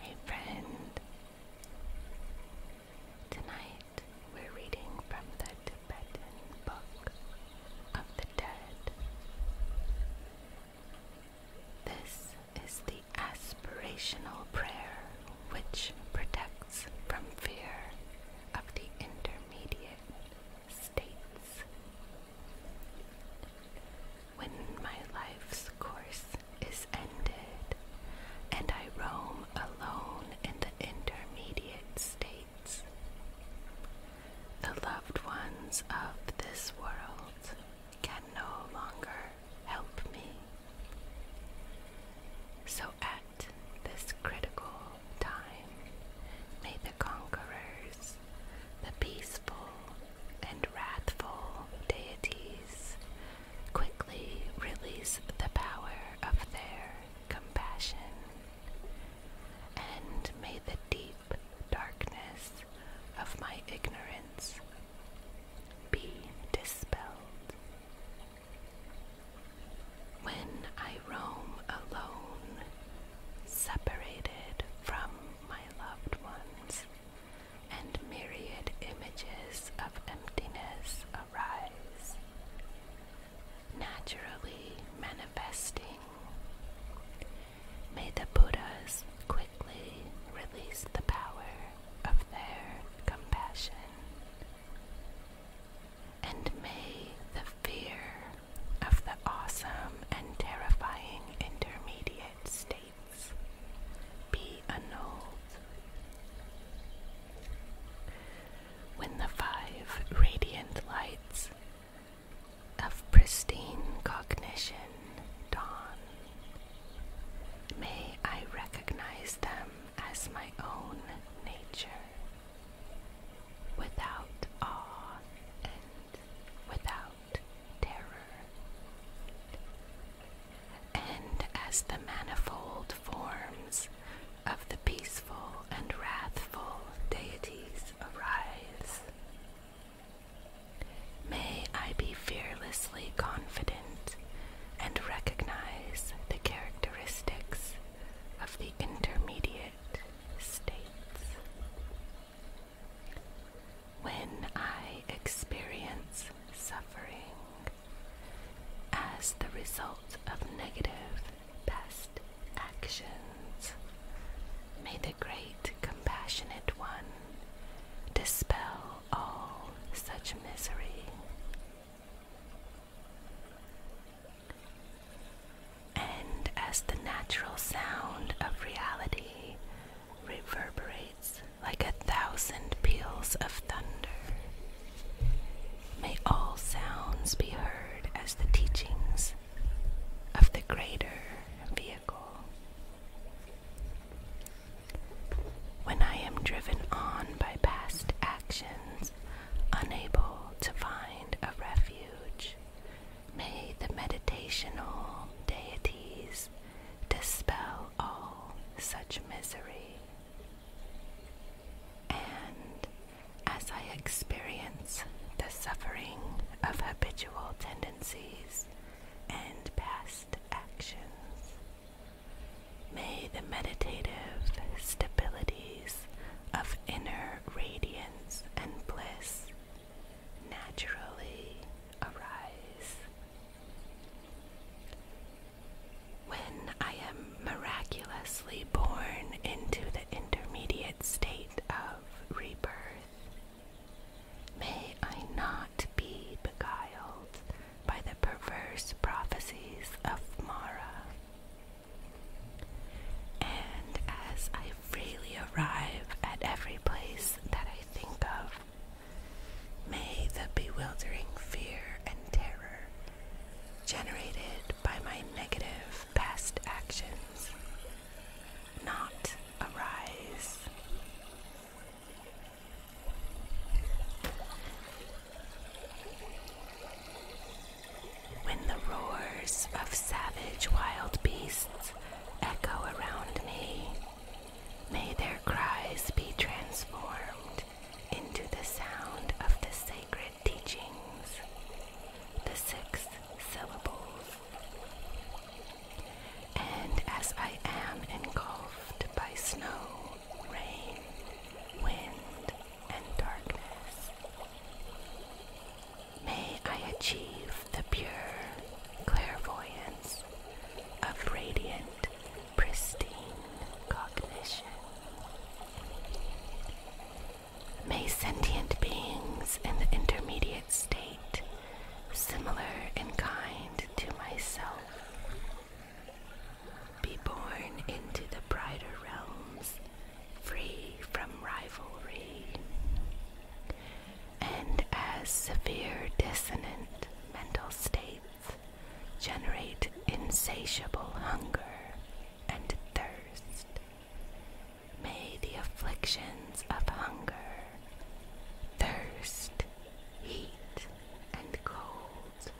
Hey friend, tonight we're reading from the Tibetan Book of the Dead. This is the aspirational prayer which protects from fear of the intermediate states. When my life's course is ended, and I roam alone in the intermediate states, the loved ones of this world can no longer help me. So at this critical time, may the conquerors, the peaceful and wrathful deities, quickly release the power of their compassion, and may the deep darkness of my ignorance be dispelled. When I roam alone, separated from my loved ones, and myriad images of emptiness arise, naturally manifesting, may the Buddhas quickly release the power of their compassion and may the fear of the awesome and terrifying intermediate states be annulled. When the five radiant lights of pristine cognition dawn, may I recognize them as my own nature, without awe and without terror, and as the manifold forms of the peaceful and wrathful deities arise. May I be fearlessly confident and recognize the characteristics of the intermediate states. When I experience suffering as the result of negative past actions, may the great compassionate one dispel all such misery and as the natural sound of reality reverberates like a thousand peals of thunder, may all sounds be heard as the teachings of the greater vehicle. When I am driven on by past actions, unable to find a refuge, may the meditational deities dispel all such misery. And as I experience the suffering of habitual tendencies and past actions, May the meditative stabilities of inner radiance and bliss naturally arise. When I am miraculously born into the intermediate state of rebirth, may I not be beguiled by the perverse prophecies of Mara. And as I freely arrive at every place that I think of, may the bewildering fear and terror generated by my negative past actions not arise. When the roars of savage wild beasts echo around me, may their cries be transformed into the sound of the sacred teachings, the six syllables. And as I am engulfed by snow, rain, wind, and darkness. May I achieve the pure clairvoyance of radiant, pristine cognition. May sentient beings in the intermediate state, similar in kind to myself, be born into the brighter realms, free from rivalry. And as severe dissonant mental states generate insatiable hunger and thirst, may the afflictions of hunger, thirst, heat, and cold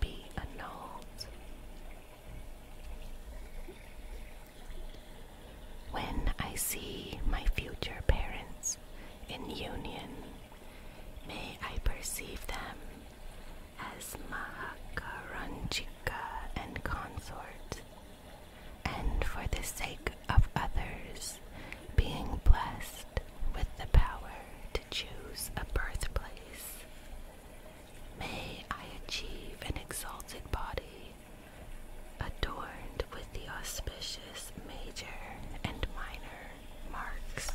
be annulled. When I see my future parents in union, may I perceive them as Mahakaranchika and consort, and for the sake of others being blessed with the power to choose a birthplace. May I achieve an exalted body adorned with the auspicious major and minor marks.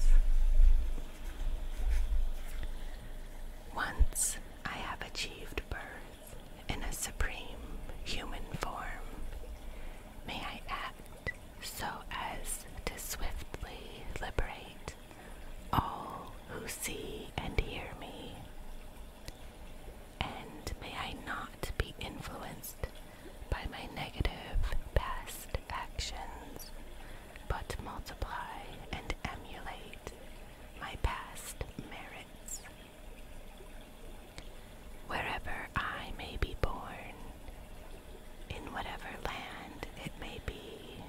Once I have achieved birth in a supreme human form, may I act so as to swiftly liberate all who see and hear me. And may I not be influenced by my negative past actions, but multiply and emulate my past merits. Wherever I may be born, in whatever land it may be.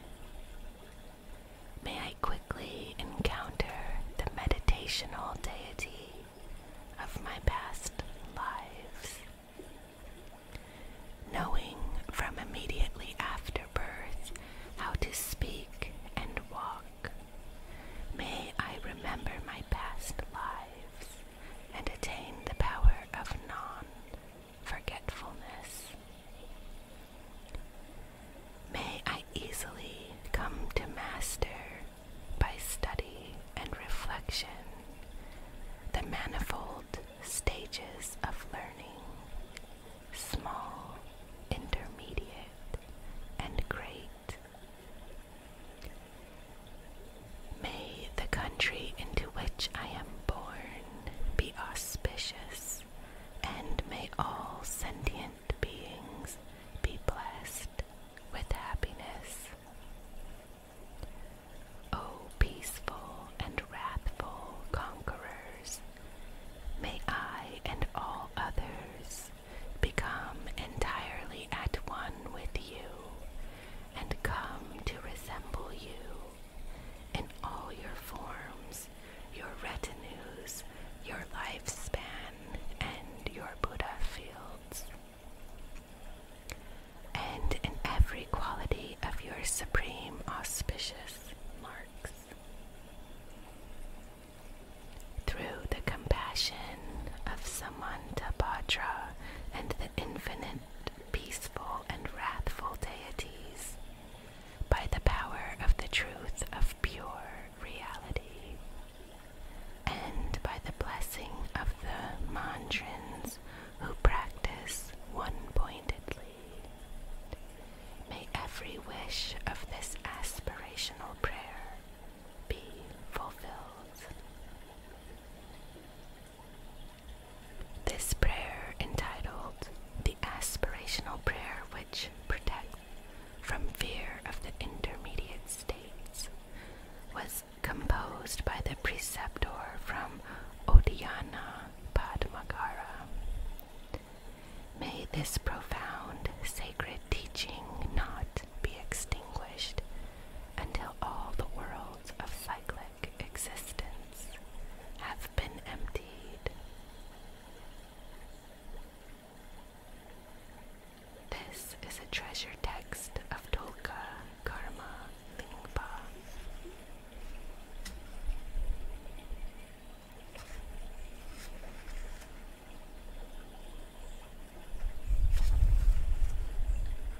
May I quickly encounter the meditational deity of my past lives. Knowing from immediately after birth how to speak and walk, may I remember my past lives and attain the power of non forgetfulness. May I easily come to master by study and reflection the manifold stages of learning, small, intermediate, and great. May the country into which I am born be auspicious, and may all sentient beings be blessed with happiness. O peaceful and wrathful conquerors, may I and all others become entirely at one with you and come to resemble you in all your forms, your retinues, your lifespan, and your Buddha fields. And in every quality of your supreme auspicious marks. Through the compassion of Samantabhadra and the infinite peaceful and wrathful deities, by the power of the truth of pure reality, and by the blessing of the mantrins who practice one pointedly. May every wish of this aspirational prayer be fulfilled. This prayer, entitled the aspirational prayer which protects from fear of the intermediate states, was composed by the preceptor from Odhyana Padmagara. May this profound sacred teaching not be extinguished until all the worlds of cyclic existence have been emptied. This is a treasure text of Tolka Karma Lingpa.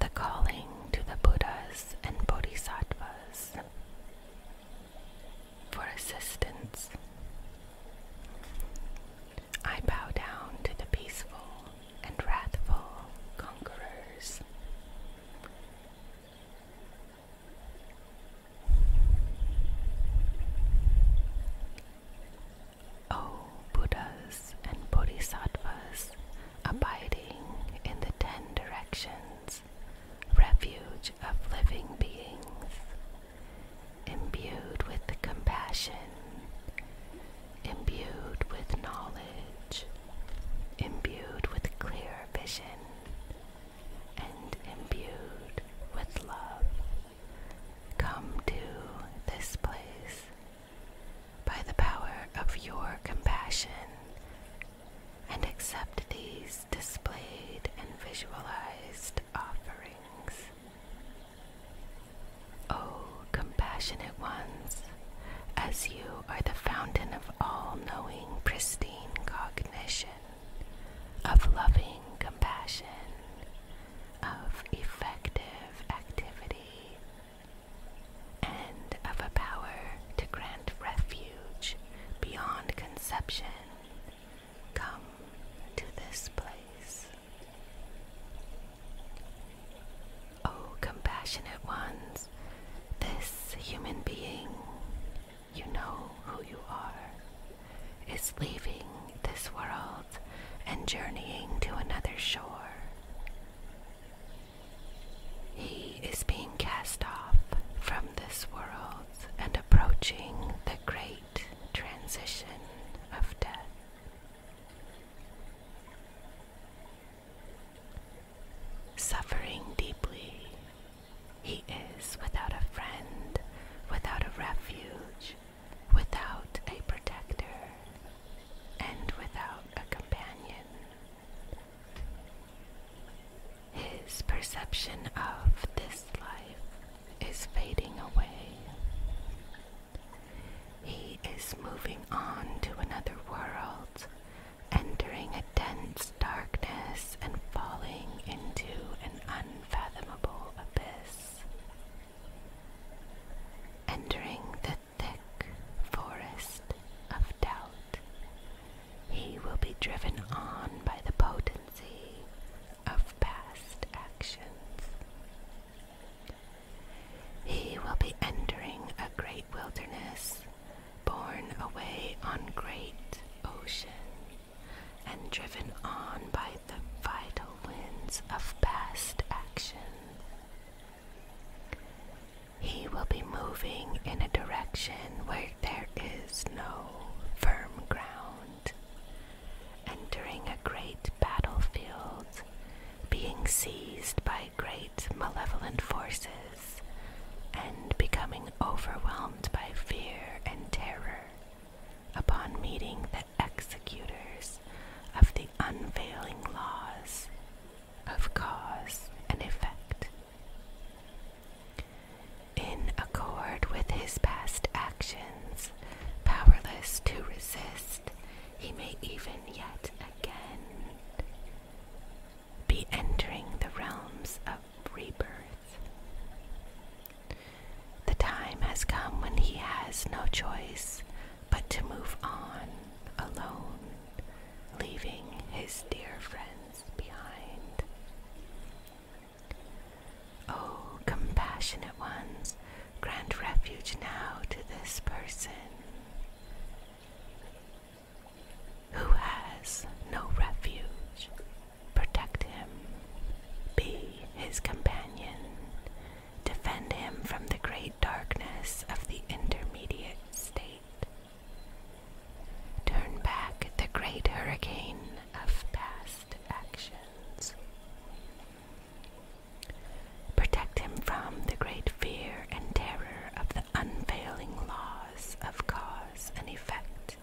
The calling to the Buddhas and Bodhisattvas for assistance. I bow down to the peaceful and wrathful conquerors. O Buddhas and Bodhisattvas, abiding in the ten directions, refuge of living beings, imbued with compassion, imbued with knowledge, imbued with clear vision, and imbued with love. Come to this place by the power of your compassion and accept these displayed and visualized offerings. O compassionate ones, as you are the fountain of all knowing, pristine cognition, of loving compassion, of effective activity, and of a power to grant refuge beyond conception. Come to this place. O compassionate ones, this human being, you know who you are is leaving this world and journeying to another shore. He is being cast off from this world and approaching the great transition of death. Suffering deeply, he is without a friend, without a refuge, without a protector and without a companion. His perception of this life is fading away. He is moving on to another world, entering a dense darkness and falling into an unfathomable abyss. Entering the thick forest of doubt, he will be driven on by the potency of past actions. He will be entering a great wilderness, borne away on great ocean and driven on by the vital winds of past action. He will be moving in a direction where there is no firm ground, entering a great battlefield, being seized by great malevolent forces, and becoming overwhelmed by fear and terror upon meeting the executors of the unfailing laws of cause and effect. In accord with his past actions, powerless to resist, he may even yet again be entering the realms of rebirth. The time has come when he has no choice but to move on alone, leaving his dear friends behind. Oh, compassionate ones, grant refuge now to this person who has no refuge Protect him. Be his companion. Defend him from the great darkness of the intermediate state. Turn back the great hurricane of past actions. Protect him from the great fear and terror of the unfailing laws of cause and effect.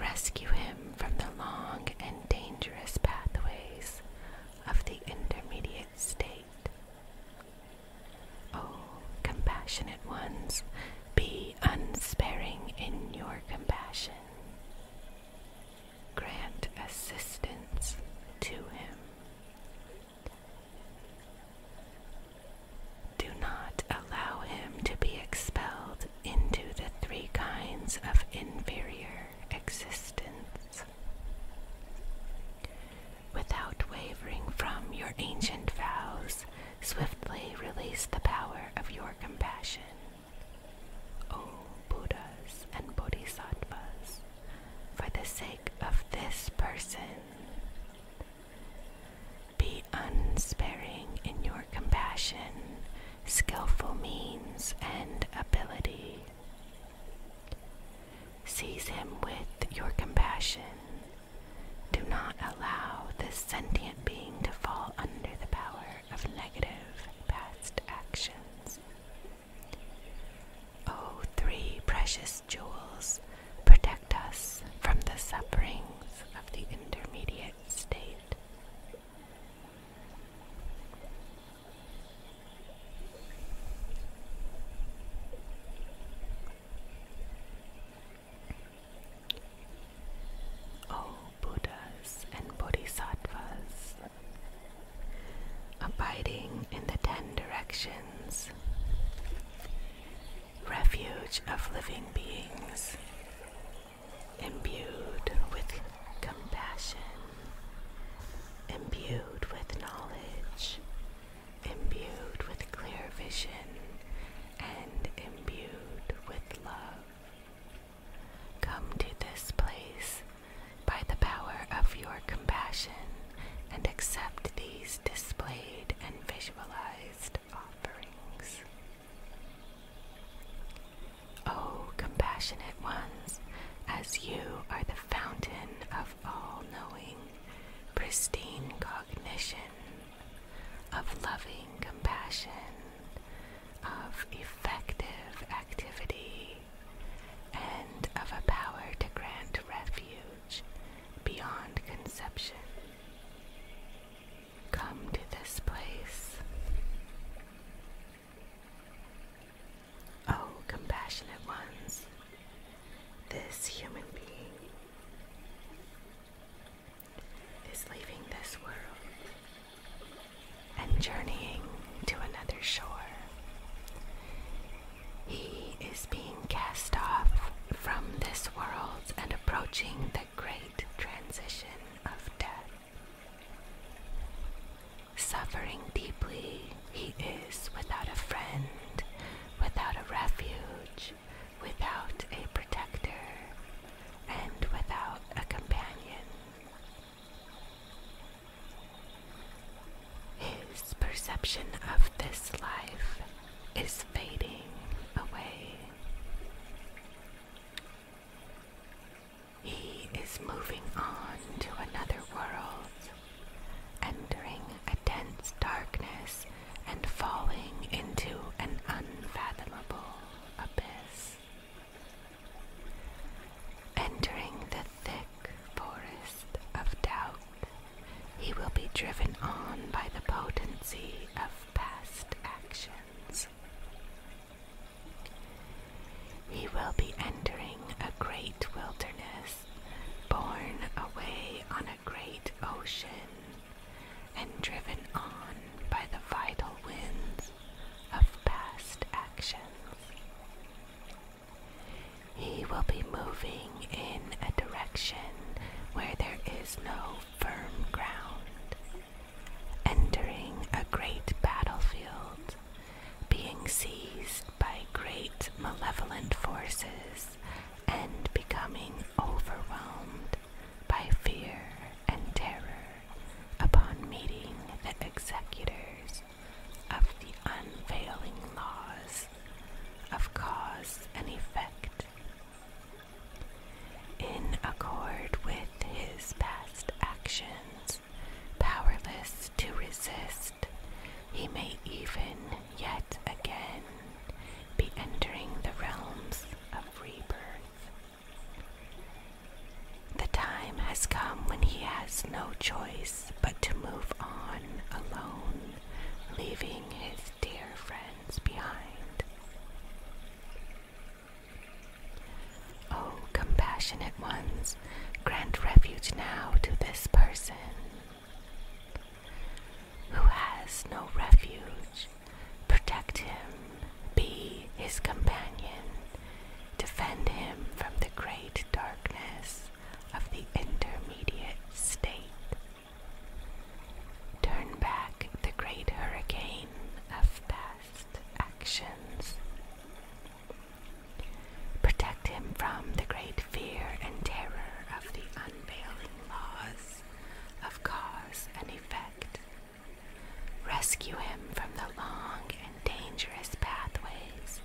Rescue him from the long and dangerous pathways of the intermediate state. Oh, compassionate ones, be unsparing in your compassion. Grant assistance to him. Do not allow him to be expelled into the three kinds of inferior existence. Without wavering from your ancient vows, swiftly release the power of your compassion. O Buddhas and Bodhisattvas, for the sake of this person, be unsparing in your compassion skillful means and ability. Seize him with your compassion. Do not allow this sentient being to fall under the power of negative past actions. O three precious jewels, protect us from the sufferings of the intermediate state. Oh, Buddhas and Bodhisattvas, abiding in the ten directions, refuge of living beings imbued with compassion, imbued with knowledge, imbued with clear vision, and imbued with love. Come to this place by the power of your compassion and accept these displayed and visualized offerings. O oh, compassionate ones, as you are the fountain of all knowing, pristine cognition, of loving compassion, of effective activity, and of a power to grant refuge beyond conception come to this place. Oh, compassionate ones, this human being is leaving this world and journeying to another shore. He is being cast off from this world and approaching the great transition of death. Suffering deeply, he is without a friend, without a refuge, without a protector, and without a companion. His perception of this life is fading away. He is moving on to another world, entering a dense darkness and falling into an unfathomable abyss. Entering the thick forest of doubt, he will be driven on by the potency of past actions. He will be entering a great wilderness, borne away on a great ocean, and driven on by the vital winds of past actions. He will be moving in a direction where there is no firm ground, entering a great battlefield, being seized by great malevolent forces, and becoming overwhelmed by fear and terror upon meeting the executors of the unfailing laws of cause and effect in accord with his past actions, powerless to resist. He may even yet again be entering the realms of rebirth. The time has come when he has no choice but to move on alone, leaving his dear friends behind. O oh, compassionate ones, grant refuge now to this person who has no refuge. Protect him, be his companion, defend him from the great darkness of the intermediate state. Turn back the great hurricane of death actions. Protect him from the great fear and terror of the unveiling laws of cause and effect. Rescue him from the long and dangerous pathways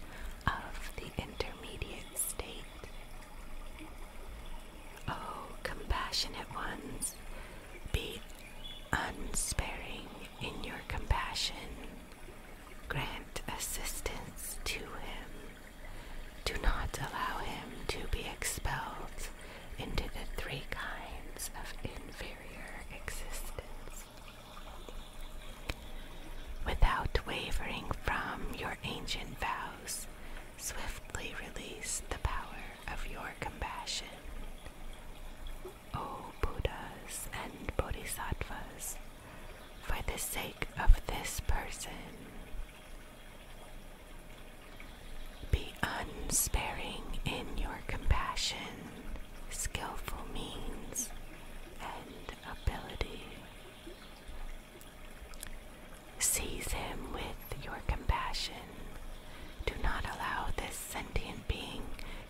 of the intermediate state. O oh, compassionate ones, be unsparing in your compassion. Grant assistance to him. Do not allow him to be expelled into the three kinds of inferior existence. Without wavering from your ancient vows, swiftly release the power of your compassion. O Buddhas and Bodhisattvas, for the sake of this person, be unsparing in your compassion, skillful means, and ability. Seize him with your compassion do not allow this sentient being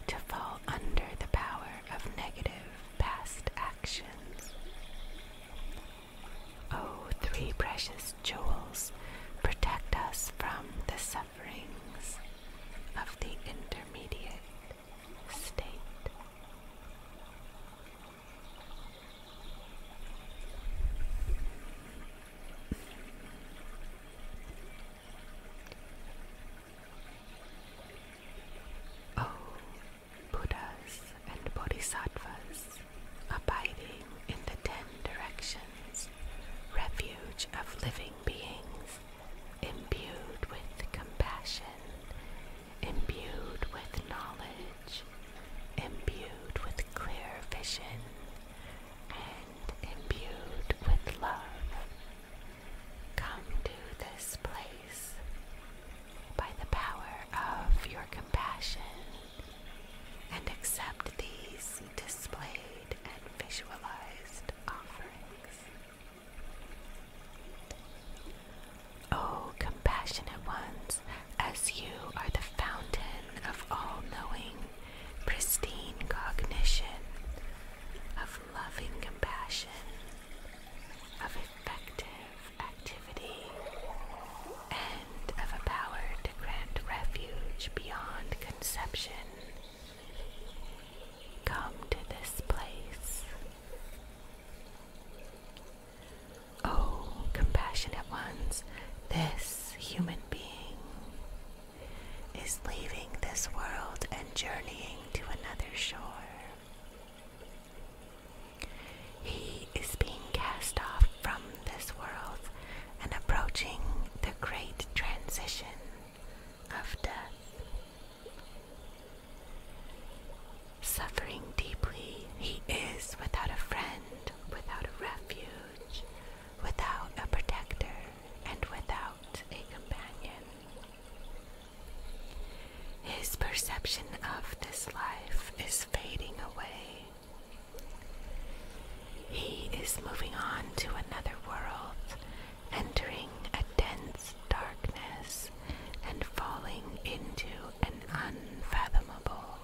to fall under the power of negative past actions. O three precious jewels, protect us from the sufferings of the intermediate state. Oh, Buddhas and Bodhisattvas, abiding in the ten directions, refuge of living beings, imbued with compassion, imbued with knowledge, imbued with clear vision, imbued with love, come to this place by the power of your compassion and accept these displayed and visualized offerings. O compassionate ones, as you are the fountain of all knowing pristine cognition of loving compassion, of effective activity, and of a power to grant refuge beyond conception. Come to this place. Oh, compassionate ones, this human being is leaving this world and journeying to another shore. He is being cast off from this world and approaching the great transition of death. Suffering deeply, he is without a friend, without a refuge, without a protector and without a companion. His perception of this life is fading away. He is moving on to another world, entering a dense darkness and falling into an unfathomable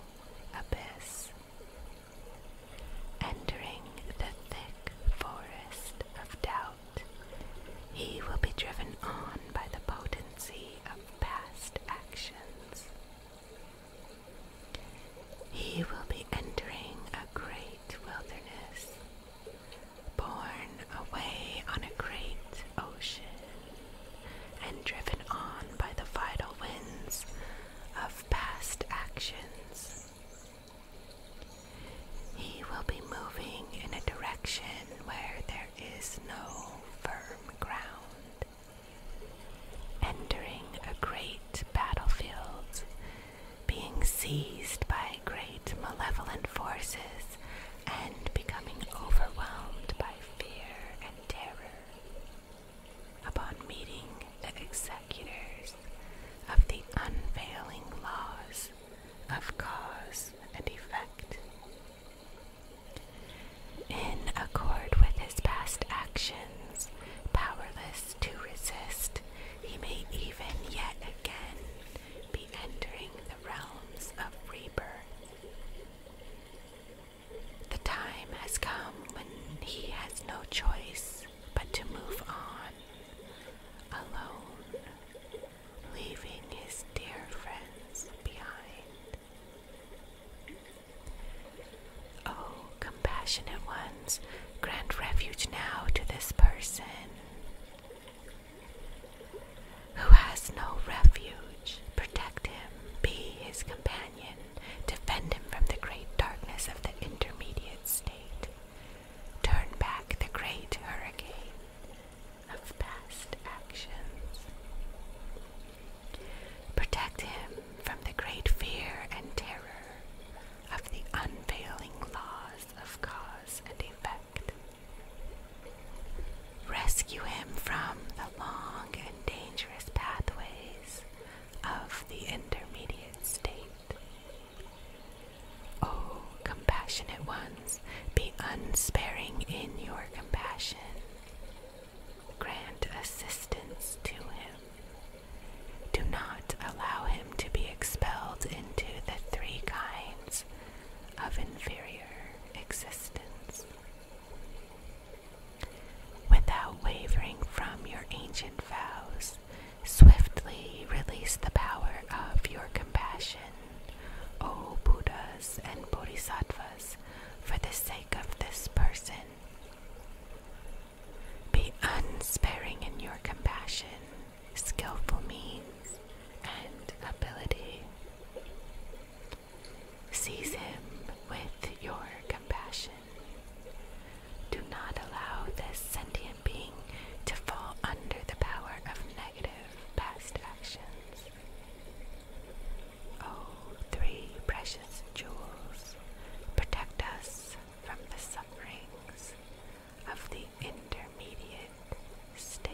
abyss. Entering the thick forest of doubt, he will be driven on by the potency of past actions. He will be entering a great wilderness, borne away on a great ocean, and driven on by the vital winds of past actions. He will be moving in a direction where there is no firm ground, entering a great battlefield, being seized by great malevolent forces, and becoming overwhelmed by fear and terror upon meeting the executors of the unfailing laws of cause and effect. In accord with his past actions, powerless to resist, he may even yet again be entering the realms of rebirth. The time has come when he has no choice but to move on alone, leaving his dear friends behind. Oh, compassionate ones, grant refuge now to this person who has no refuge. Protect him, be his companion, defend him from the great darkness of the intermediate state turn back the great hurricane of past actions. Protect him from the great fear and terror of the unfailing laws of cause and effect. Rescue him from the long and dangerous pathways of the intermediate state. O oh, compassionate ones, be unsparing in your compassion. Grant assistance to him. Do not allow him to be expelled into the three kinds of inferior existence. Without wavering from your ancient vows, Swiftly release the power of your compassion, O Buddhas and Bodhisattvas, for the sake of this person. Be unsparing in your compassion, skillful means, and ability. Seize him with your compassion. Do not allow this sentient being to fall under the power of negative past actions. Oh, three precious jewels, protect us from the sufferings of the intermediate state.